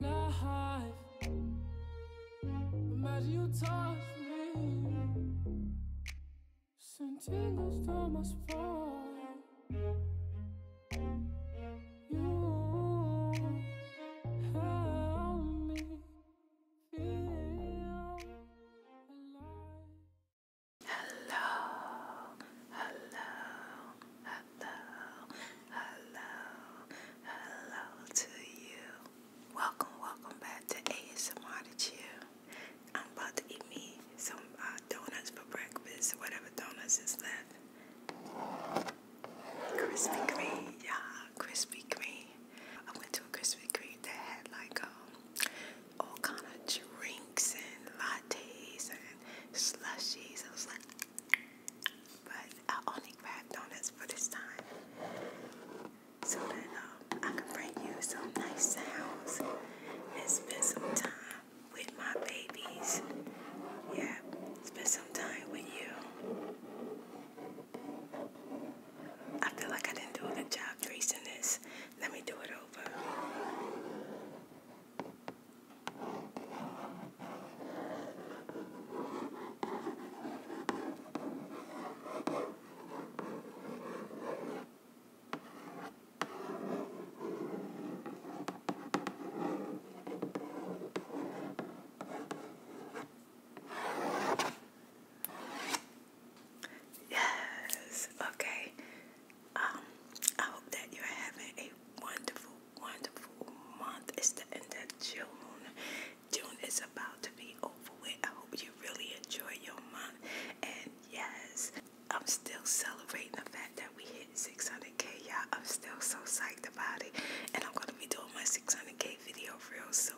life. Imagine you touch me, send tingles down my spine. You help me feel alive. Hello, hello, hello hello, hello, hello to you. Welcome, welcome back to ASMR to Chill. I'm about to eat me some donuts for breakfast, whatever donuts is left. Krispy Kreme, yeah, Krispy Kreme. I went to a Krispy Kreme that had like all kind of drinks and lattes and slushies. I was like, but I only grabbed donuts for this time. So that um, I can bring you some nice sounds and spend some time with my babies. Yeah, spend some time with you. I feel like I didn't do a good job tracing this. Let me do it over. Yes, okay. Um, I hope that you're having a wonderful, wonderful month. It's the end of June. June is about to be over with. I hope you really enjoy your month. And yes, I'm still celebrating the fact that we hit 600k, y'all. I'm still so psyched about it. And I'm going to be doing my 600k video real soon.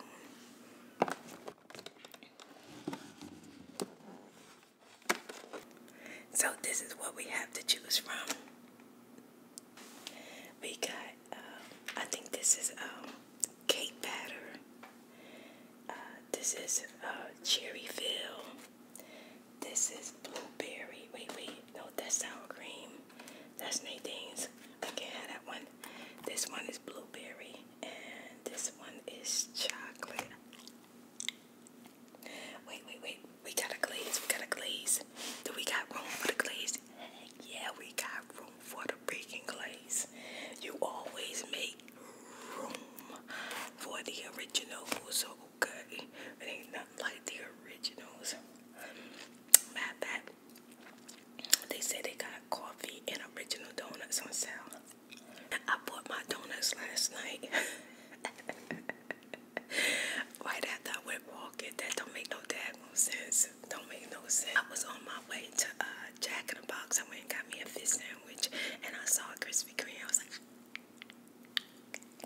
So, this is what we have to choose from. We got, um, I think this is um, cake batter. Uh, this is uh, cherry fill. This is blueberry. Wait, wait. No, that's sour cream. That's Nadine's. I can't have that one. This one is blueberry. And this one is chocolate. Wait, wait, wait. We got a glaze. We got a glaze. Do we got room for the glaze? Yeah, we got room for the freaking glaze. You always make room for the original, who's okay? It ain't nothing like the originals. Um, matter they said they got coffee and original donuts on sale. I bought my donuts last night. right after I went walking, that don't make no daggone sense. Don't make no sense. I was on my way to uh, Jack in the Box. I went and got me a fish sandwich, and I saw a Krispy Kreme. I was like,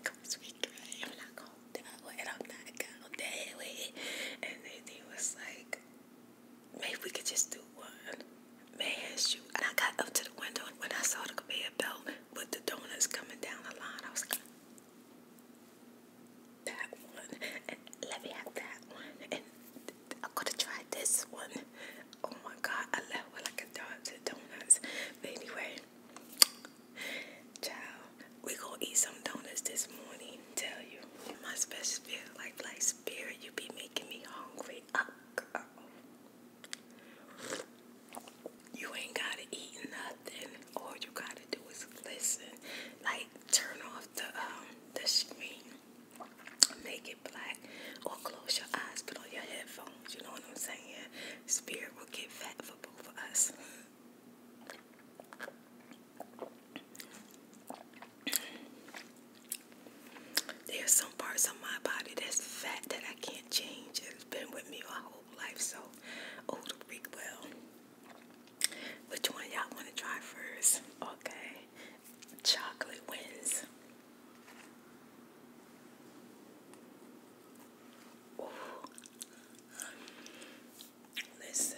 Krispy Kreme, I'm not gonna do it. I'm not gonna And then he was like, maybe we could just do one. Man, shoot. And I got up to the window. When I saw the with the donuts coming down the line. I was like, that one, let me have that one, and I could have tried this one. Oh my God, I left with like a dog to donuts. But anyway, child, we gonna eat some donuts this morning. Tell you, my spirit, like like spirit, you be making me hungry. Uh, girl. You ain't gotta eat nothing. All you gotta do is listen. Like turn off the um the screen, make it black, or close your eyes, put on your headphones. You know what I'm saying? Spirit will get fat for both of us. There's so parts of my body that's fat that I can't change. It's been with me my whole life, so oh, the Greek well. Which one y'all want to try first? Okay, chocolate wins. Listen.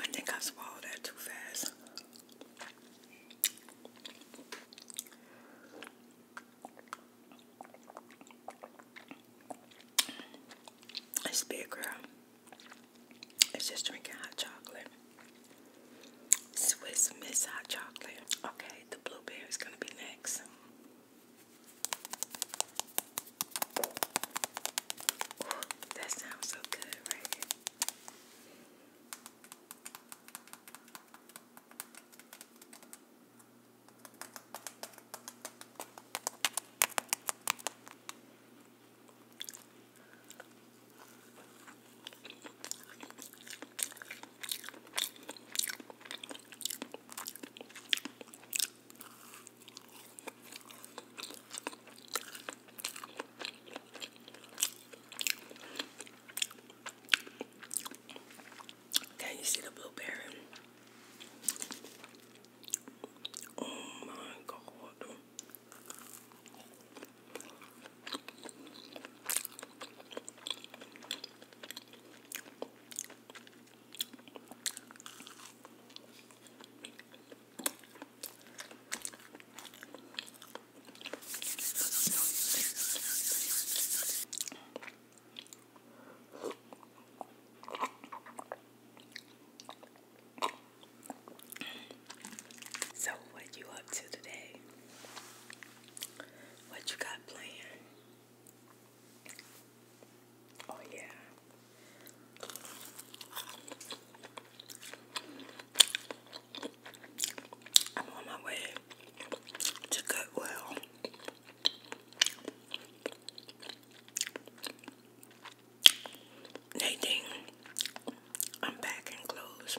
I think I swallowed that too fast. It's big, girl. It's just drinking hot chocolate. Swiss Miss Hot Chocolate. Okay, the blueberry is going to be next. Oh, that sounds so good, right? Can you see the blueberry? Oh my god. So, what you up to today? What you got planned? Oh, yeah. I'm on my way to Goodwill. Nadine, I'm packing clothes.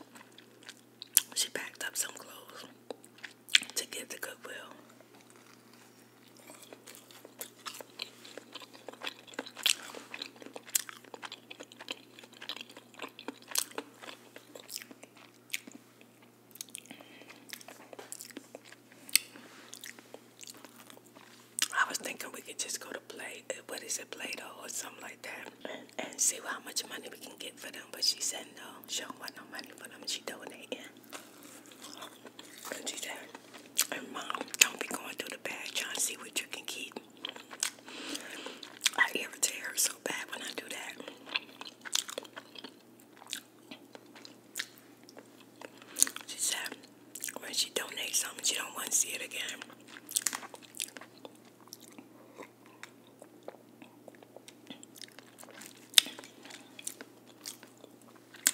She packed up some clothes to give to Goodwill. I was thinking we could just go to play uh, what is it, Play Doh or something like that and, see how much money we can get for them. But she said no, she don't want no money for them. She donating. And she it? And mom, don't be going through the bag trying to see what you can keep. I irritate her so bad when I do that. She said when she donates something, she don't want to see it again.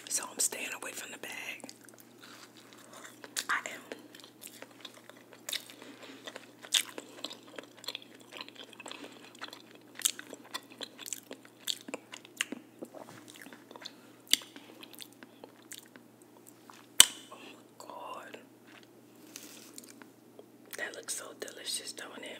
So I'm staying away from the bag. I am. Oh my god. That looks so delicious, don't it?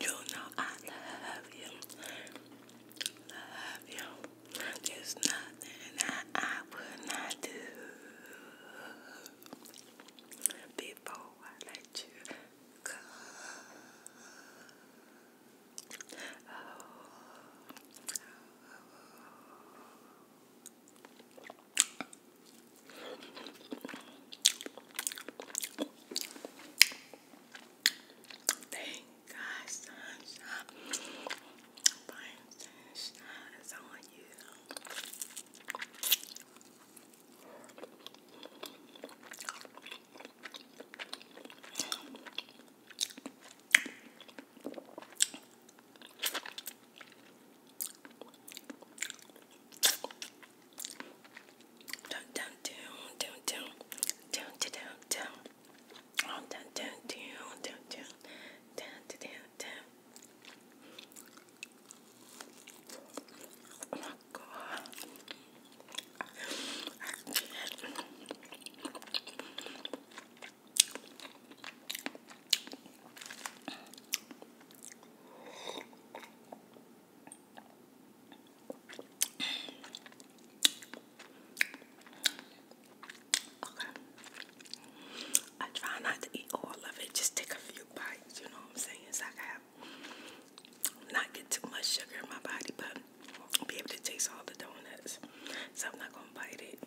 You know I love you. Love you. There's nothing that I would not do before I let you go. Oh, oh, Thank God, sunshine. Brian sunshine is on you. Down, down, down, down, down, down, down, down. Oh, down, down, down, down, down, down, down, down. Oh my God! I can't. Okay. I try not to eat all of it, just take a few bites, you know what I'm saying? So I can not get too much sugar in my body, but be able to taste all the donuts. So I'm not gonna bite it.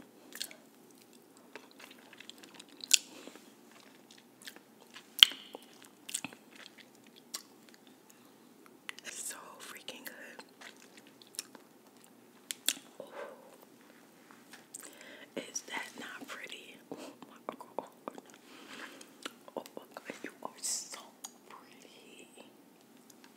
so freaking good. Is that not pretty? Oh my god. Oh my god, you are so pretty.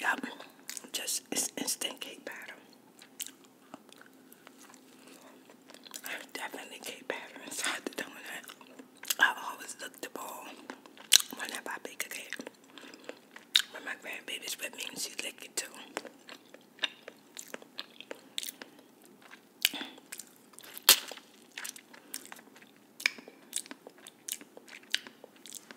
Yep, just it's instant cake batter. I have definitely get patterns inside the doing that. I always look the ball whenever I bake a cake. But my grandbabies with me and she lick it too.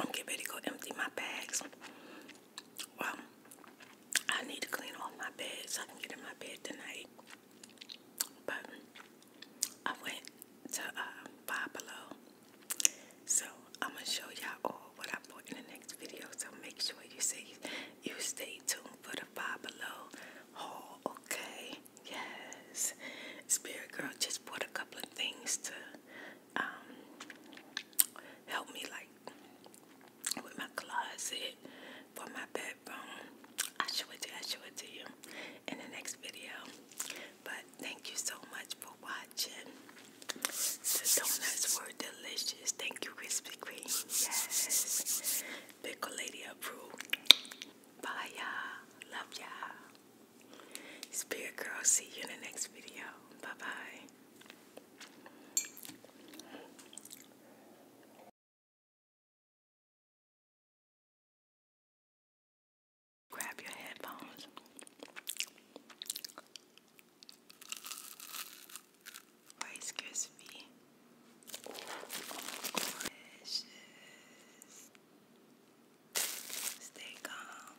I'm getting ready to go empty my bags. Well, I need to clean off my bed so I can get in my bed tonight. But I went to uh, So I'm going to show y'all all what I bought in the next video. So make sure you say you stay tuned for the Five haul, okay? Yes. Spirit Girl just bought a couple of things to um, help me like with my closet for my bedroom. I show it to you, I show it to you in the next video. But thank you so much for watching. The donuts were delicious. Thank you, Krispy Kreme. Yes. Pickle Lady approved. Bye y'all. Love y'all. Spirit Girl, see you in the next video. Bye bye. Grab your headphones. Rice Krispie. Precious. Stay calm.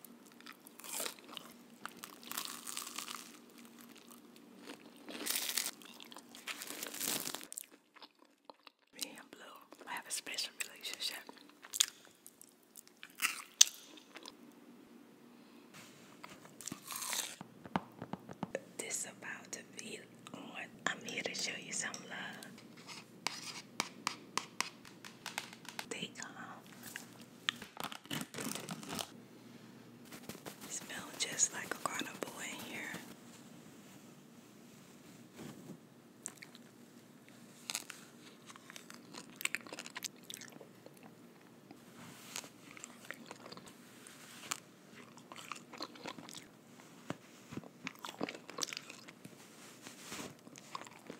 Me and Blue have a special relationship. This about to be on. I'm here to show you some love. They come. Smell just like a carnival in here.